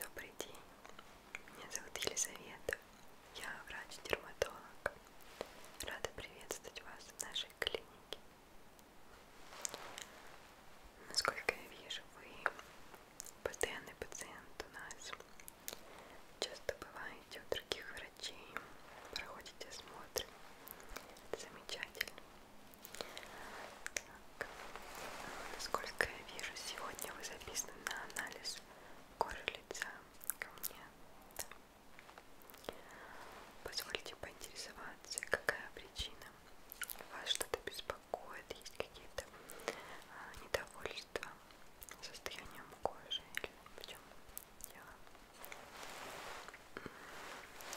Добрый день, меня зовут Елизавета, я врач-дерматолог. Рада приветствовать вас в нашей клинике. Насколько я вижу, вы постоянный пациент у нас. Часто бываете у других врачей, проходите осмотры. Это замечательно. Так. Насколько я вижу, сегодня вы записаны на анализ кожи лица ко мне. Да. Позвольте поинтересоваться, какая причина? Вас что-то беспокоит? Есть какие-то а, недовольства состоянием кожи? Или в чем дело?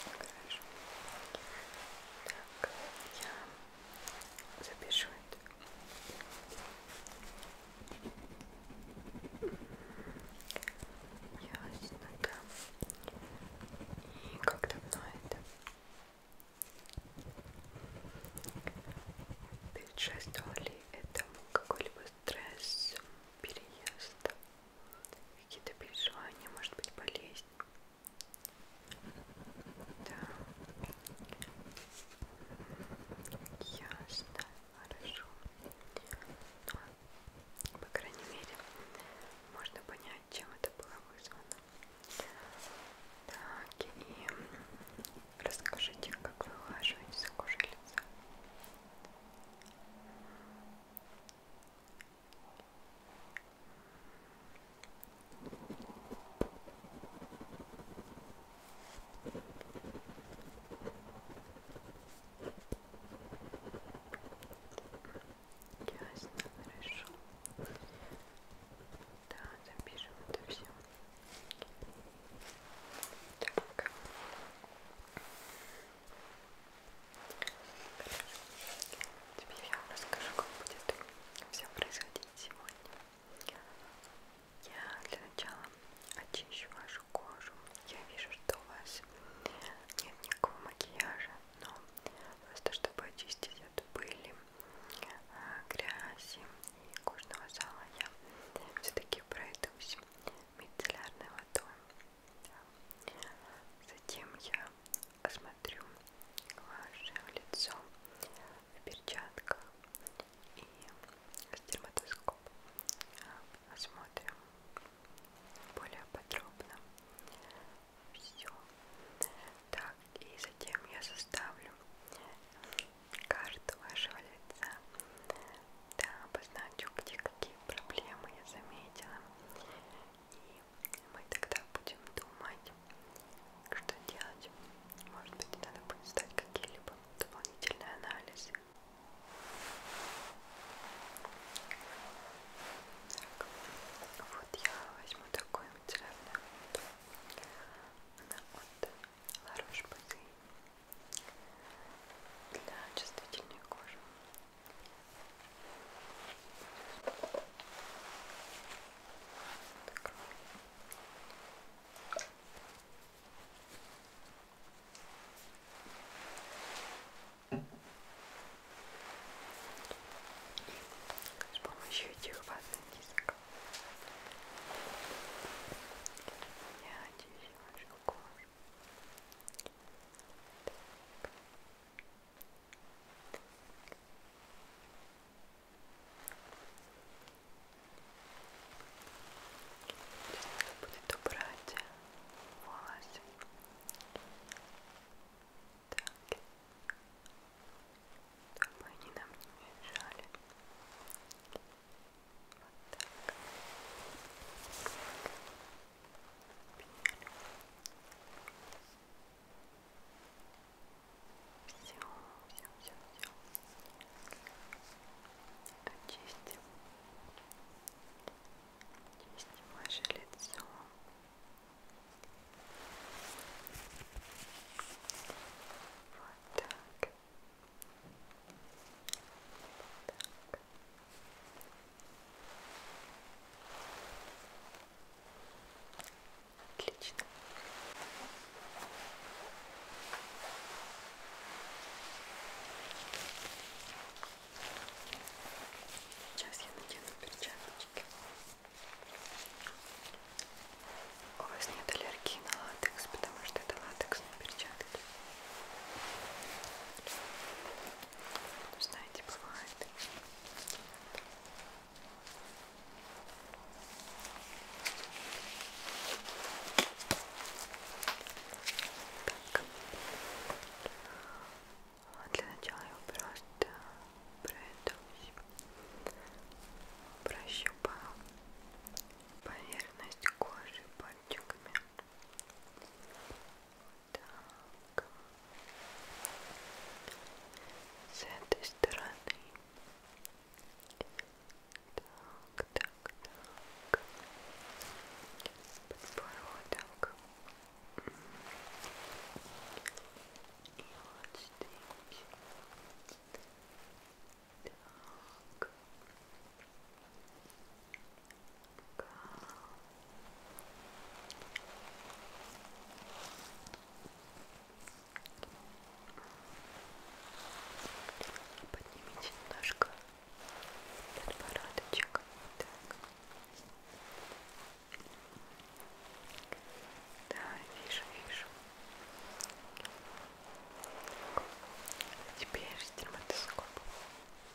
Хорошо. Так, я запишет. Ясно, да. И как давно это? Предшествовал ли этому какой-либо стресс, переезд, какие-то переживания, может быть, болезнь? Да. Ясно. Хорошо. Но, ну, по крайней мере, можно понять, чем это было вызвано. Так, и расскажите, как вы улаживаете за кожей лица. Ясно, хорошо. Да, запишем это все. Так. Хорошо. Теперь я вам расскажу, как будет все происходить сегодня. Я для начала очищу вашу кожу. Я вижу, что у вас нет никакого макияжа, но просто чтобы очистить от пыли, а, грязи и кожного зала, я все-таки пройдусь мицеллярной водой. Затем я смотрю ваше лицо в перчатках и с дерматоскопом осмотрим более подробно все. Так, и затем я составлю карту вашего лица. Да, обозначу, где какие проблемы я заметила. И мы тогда будем думать, что делать. Может быть, надо будет сдать какие-либо дополнительные анализы. Так, вот я возьму такой материальную Она от La Roche-Posay для чувствительной кожи. И с помощью этих ватных дисков я очищу вашу кожу. Так. Если будет убрать волосы. Так. Чтобы они нам не мешали. Вот так. Пену. Все, все, все, все. Чистим. Чистим ваше лицо. Вот так. Вот так. Отлично. Сейчас я надену перчаточки. У вас нет аллергии на латекс, потому что это латексные перчатки. Ну, знаете, бывает так. Для начала я просто пройдусь, прощупаю поверхность кожи пальчиками. Так. С этой стороны. Так, так, так. Подбородок. И вот здесь. Так. Голова. Поднимите немножко подбородочек. Так. Да, вижу, вижу. Так. Теперь дерматоскоп. Буду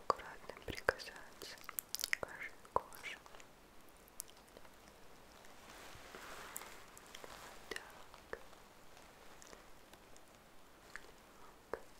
аккуратно прикасаться к вашей коже. Так. Так.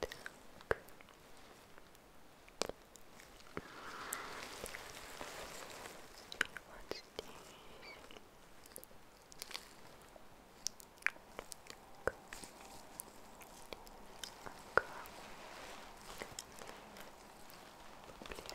Так. Вот здесь. Так. Ага. Поближе немножко вот здесь. Так.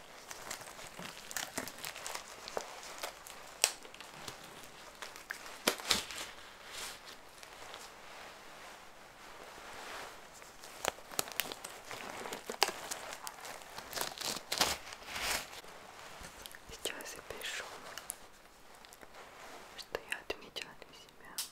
Сейчас я пишу, что я отметила для себя.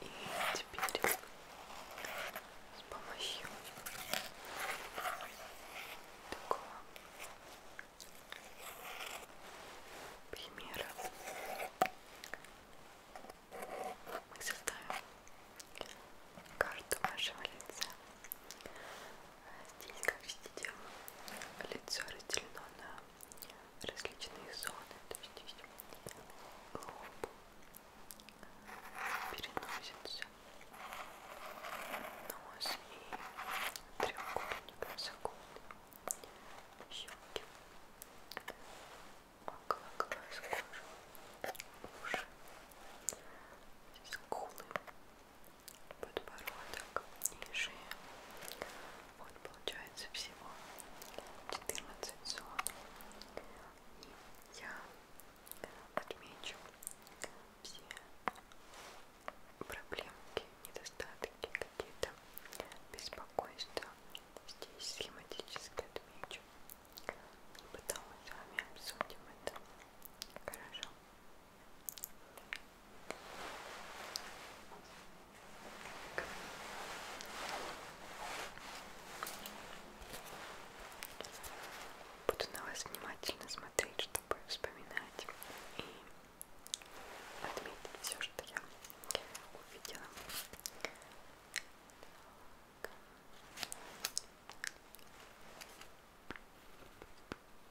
И теперь с помощью такого примера мы составим карту нашего лица Здесь, как видите, лицо разделено на различные зоны. То есть здесь лоб, переносится, нос и треугольник носогубный, щеки, около глаз, кожа, уши, скулы, подбородок и шея. Вот получается всего 14 зон. И я отмечу все проблемки, недостатки, какие-то беспокойства. Здесь схематически отмечу. И потом мы с вами обсудим это. Хорошо. Так. Буду на вас внимательно смотреть, чтобы вспоминать и отметить все, что я увидела. Так.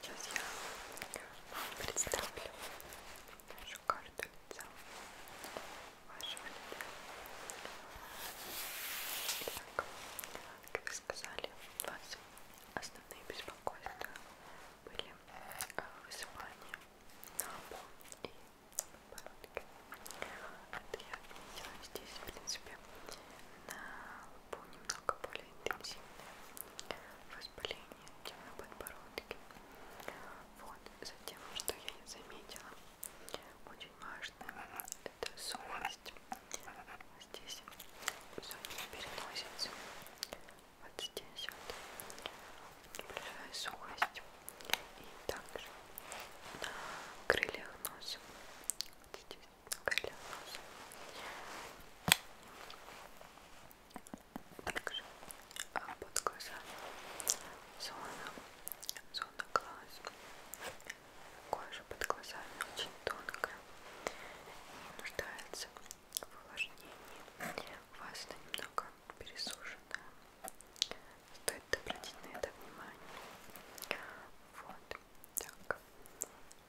Сейчас я вам представлю нашу карту лица вашего лица. Итак, как вы сказали, у вас основные беспокойства были а, высыпания на лбу и подбородке. Это я отметила здесь, в принципе, на лбу немного более интенсивное воспаление, чем на подбородке. Вот, затем, что я не заметила, очень важно, это сухость. Здесь в зоне переносится, вот здесь вот небольшая сухость. И также на крыльях носа, вот здесь также под глазами зона, зона глаз. Кожа под глазами очень тонкая, не нуждается в увлажнении. У вас она немного пересушена. Стоит обратить на это внимание. Вот так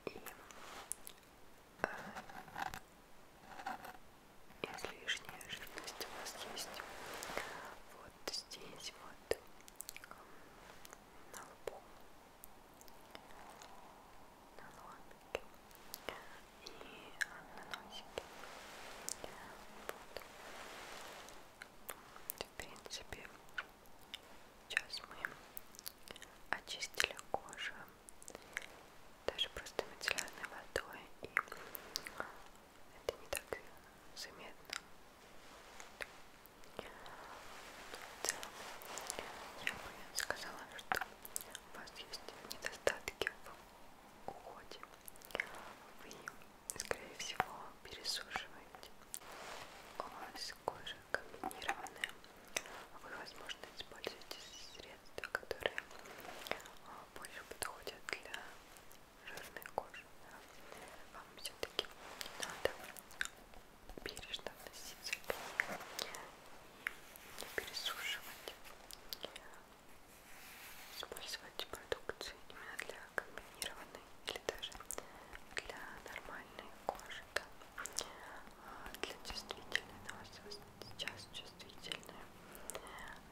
и э, излишняя жирность у нас есть вот здесь вот на лбу на лобике и на носике вот. в принципе сейчас мы очистили кожу даже просто мицеллярной водой и это не так заметно в целом я бы сказала, что у вас есть недостатки в уходе вы, скорее всего, пересушиваете у вас из кожи комбинированная. Вы, возможно, используете средства, которые а, больше подходят для жирной кожи. Вам все-таки надо бережно относиться к ней и не пересушивать. Использовать продукцию именно для комбинированной или даже для нормальной кожи ребят. А, для чувствительной у нас сейчас чувствительная.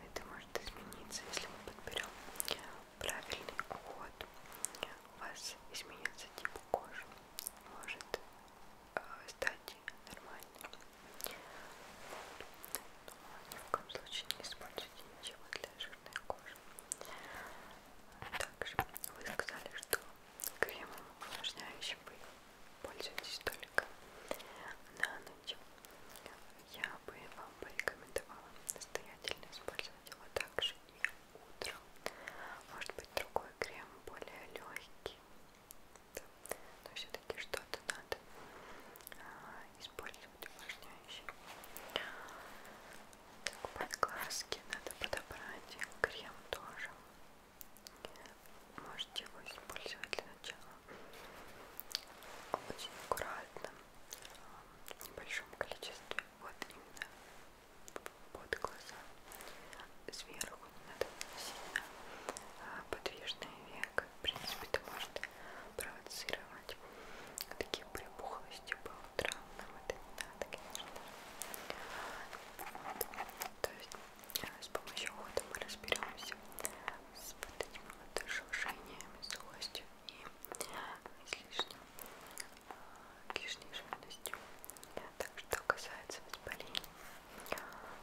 Это может измениться, если мы подберем правильный уход. У вас изменится тип кожи. Может э, стать нормальным. Но ни в коем случае не используйте ничего для жирной кожи. Также вы сказали, что кремом увлажняющим вы пользуетесь только на ночь. Я бы вам порекомендовала настоятельно использовать его также и утром. Может быть другой крем более легкий, да. но все-таки что-то надо а, использовать увлажняющее. Так, под глазки надо подобрать крем тоже. Можете его использовать для начала. Очень аккуратно, а, в небольшом количестве. Вот именно под глаза. Сверху не надо сильно а, подвижное веко. В принципе, это может провоцировать такие такие припухлости по утрам, нам это не надо, конечно. То есть э, с помощью ухода мы разберемся с вот этими вот шелушениями, злостью и излишним лишней э, жирностью. Так что касается воспалений,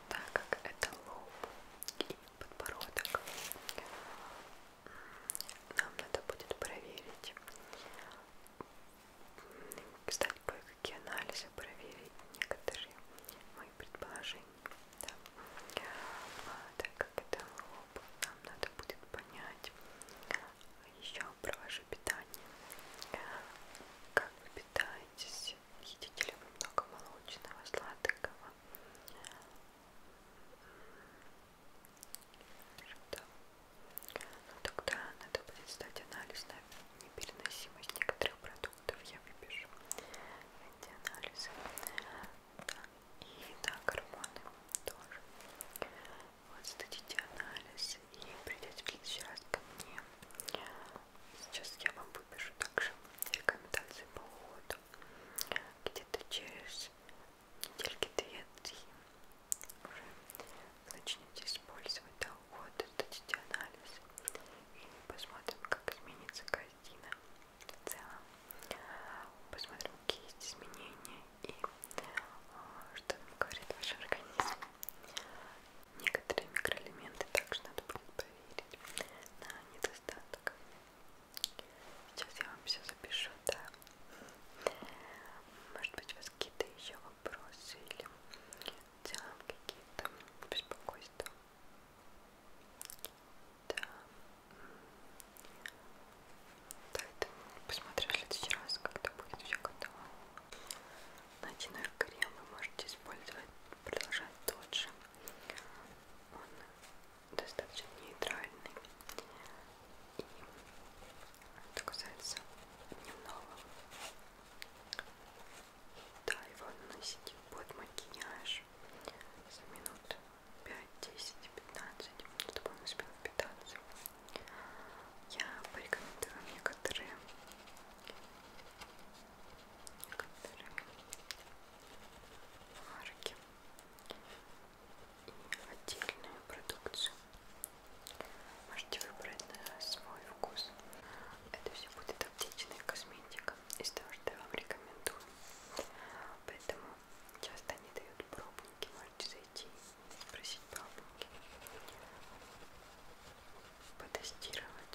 так как это лоб и подбородок, нам надо будет проверить кстати, кое-какие анализы проверить некоторые мои предположения. Да. А, так как это лоб, нам надо будет понять еще про ваше питание. Э, как вы питаетесь? Едите ли вы много молочного, сладкого? Да. Ну, тогда надо будет сдать анализ на непереносимость некоторых продуктов. Я выпишу эти анализы. Да. И да, гормоны тоже. Вот сдадите анализ и придете в следующий раз ко мне. Сейчас я вам выпишу также рекомендации по уходу где-то через недельки две-три уже начните использовать до ухода, сдадите анализ и посмотрим, как изменится картина в целом. Посмотрим, какие есть изменения и а, что нам говорит ваш организм. Некоторые микроэлементы также надо будет проверить на недостаток. Сейчас я вам все запишу, да, может быть, у вас какие-то еще вопросы или в целом какие-то беспокойства? Да. Да, это посмотрю в следующий раз, когда будет все готово. Ночной крем вы можете использовать, продолжать тот же. Он достаточно нейтральный и это касается дневного да, его наносите под макияж за минут 5, 10, 15 чтобы он успел питаться я порекомендую вам некоторые некоторые марки отдельную продукцию. Можете выбрать на свой вкус. Это все будет аптечная косметика из того, что я вам рекомендую. Поэтому часто они дают пробники. Можете зайти и спросить пробники. Потестировать,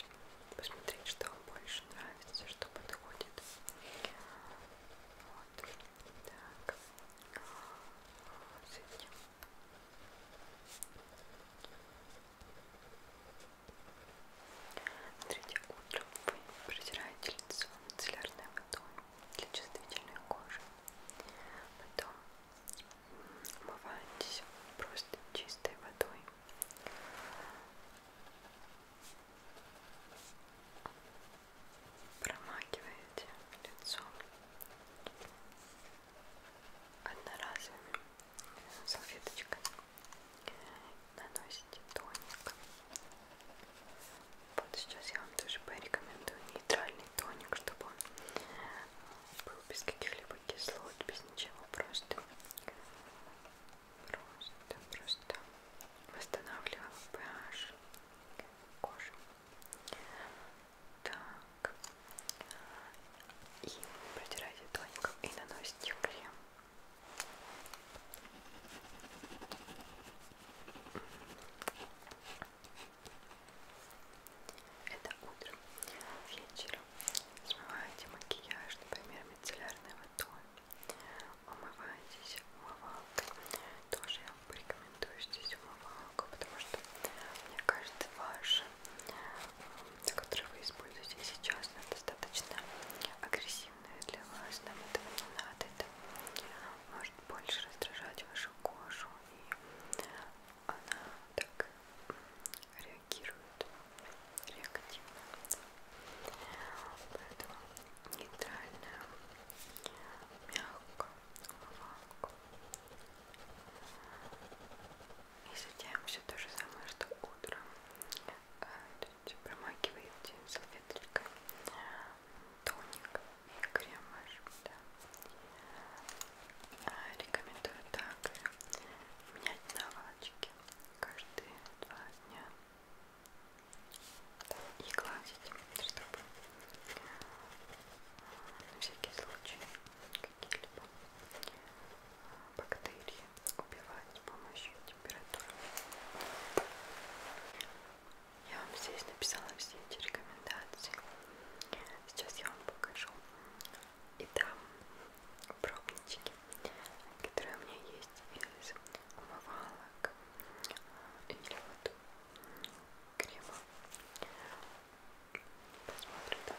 посмотреть, что вам больше нравится, что подходит. Вот. Так. Вот этим. Смотрите, утром вы протираете лицо мицеллярной водой для чувствительной кожи. Потом умываетесь просто чистой водой промакиваете лицо одноразовыми салфеточками, наносите тоник. Вот сейчас я вам тоже порекомендую нейтральный тоник, чтобы он э, был без каких-либо кислот, без ничего, просто просто, просто восстанавливал pH кожи так. И протирайте тоником и наносите крем. Это утром. Вечером смываете макияж, например, мицеллярной водой. Умываетесь умывалкой. Тоже я вам порекомендую здесь умывалку, потому что, мне кажется, ваша, которую вы используете сейчас, она достаточно агрессивная для вас, нам этого не надо, это может больше раздражать вашу кожу, и она так реагирует реактивно. Поэтому нейтральная мягко умывалку. И затем все то же самое, что утром. Э, Тут промакиваете салфеткой тоник и крем ваш. Да. Рекомендую также менять наволочки каждые два дня да, и гладить, чтобы на всякий случай какие-либо а, бактерии убивать с помощью температуры. Я вам здесь написала все эти рекомендации. Сейчас я вам покажу. И там пробнички, которые у меня есть из умывалок а, или вот нету крема. Посмотрим тазы. Так.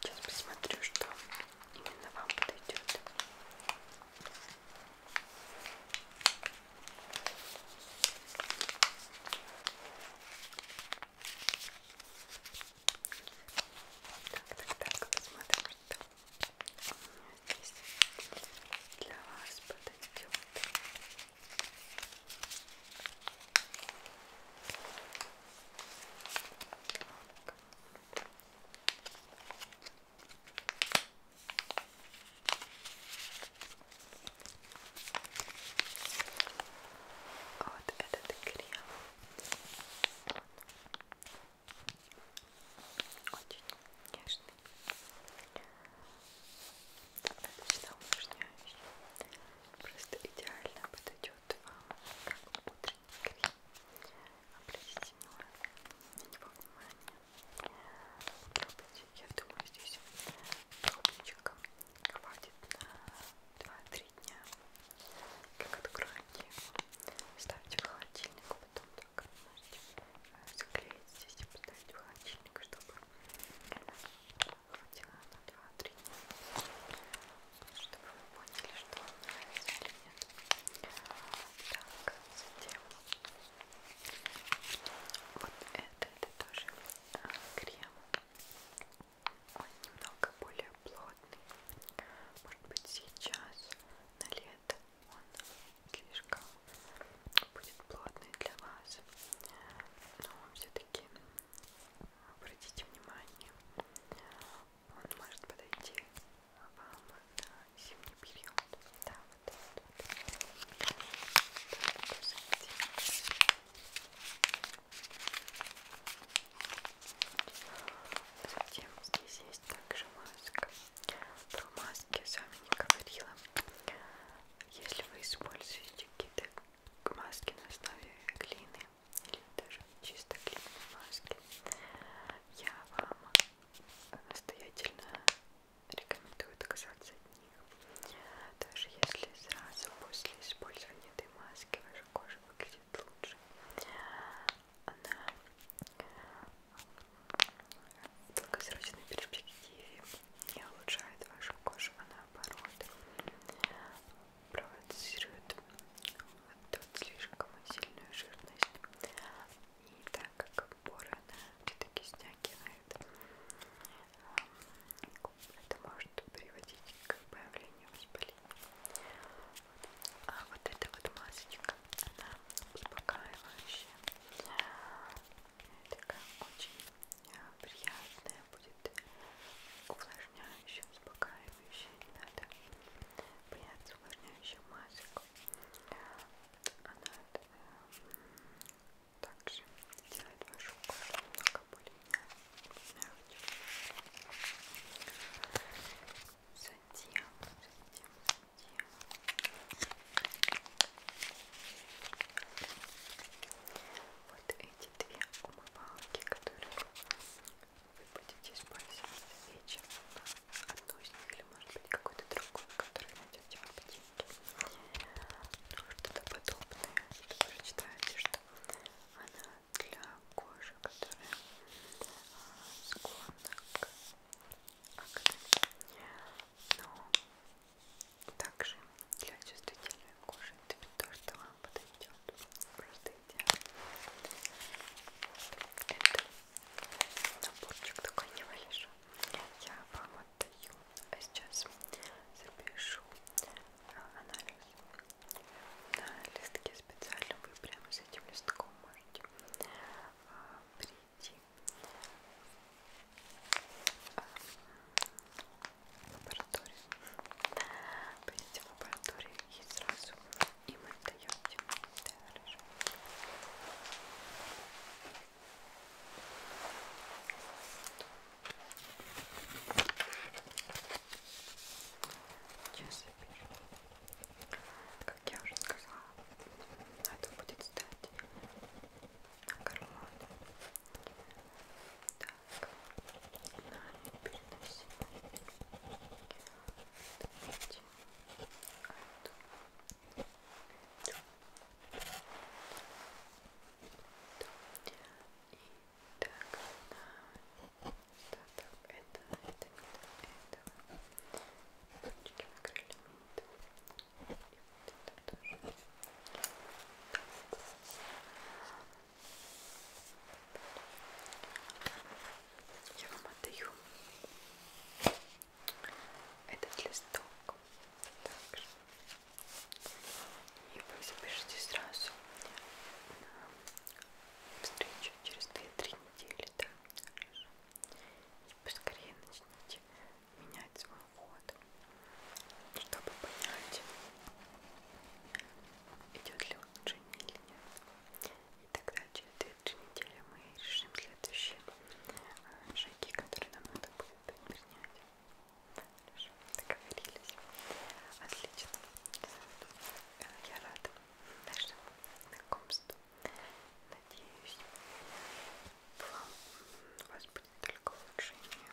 Сейчас посмотрю, что именно вам подойдет. Так, так, так, посмотрим, что здесь для вас подойдет. Вот этот крем. Очень нежный. Достаточно увлажняющий. Просто идеально подойдет идет как утренний крем. Обратите внимание на него внимание. Я думаю, здесь пробничка хватит на 2-3 дня. Как откроете его, ставьте в холодильник, потом так можете заклеить здесь и поставить в холодильник, чтобы Хватило на 2-3 чтобы вы поняли, что вам нравится или нет. Так, затем вот это, это тоже крем. Он немного более плотный. Может быть сейчас на лето он слишком будет плотный для вас. Но он все-таки Обратите внимание, он может подойти вам на зимний период. Да, вот этот вот. Так, Затем здесь есть также маска. Про маски я с вами не говорила. Если вы используете какие-то маски на основе глины, даже чисто клеевые маски, я вам настоятельно рекомендую отказаться от них. Даже если сразу после использования этой маски ваша кожа выглядит лучше, она в долгосрочной перспективе не улучшает вашу кожу, а наоборот провоцирует тут слишком сильную жирность. И так как поры она все-таки стягивает, эм, это может приводить к появлению воспаления. А вот эта вот масочка, она успокаивающая. Такая очень приятная, будет увлажняющая, успокаивающая, не надо бояться увлажняющих масок. Она э, также делает вашу кожу немного более мягче. Затем, затем, затем вот эти две умывалки, которые вы будете использовать вечером. Одну из них или может быть какую-то другую, которую найдете в аптеке. Ну, что-то подобное. Что вы считаете, что она для кожи, которая а, склонна к акне. Но также для чувствительной кожи это то, что вам подойдет. Просто идеально. Это наборчик такой небольшой. Я вам отдаю. А сейчас запишу а, анализ на листке специально. Вы прямо с этим листком можете а, прийти а, лабораторию. Берите в лабораторию и сразу им отдаете. Да, хорошо. Сейчас я Как я уже сказала, надо будет стать на карман. Да, так нами переносимой отметим эту эту и так на остаток это, это, этого ручки накрыли и вот это тоже я вам отдаю этот листок также. И вы запишите сразу на встречу через 2-3 недели, да? И поскорее начните менять свой ход чтобы понять, идет ли улучшение или нет. И тогда через 2-3 недели мы решим следующие э, шаги, которые нам надо будет предпринять. Хорошо, договорились. Отлично. Э, я рада нашему знакомству. Надеюсь, вам, у вас будет только улучшение.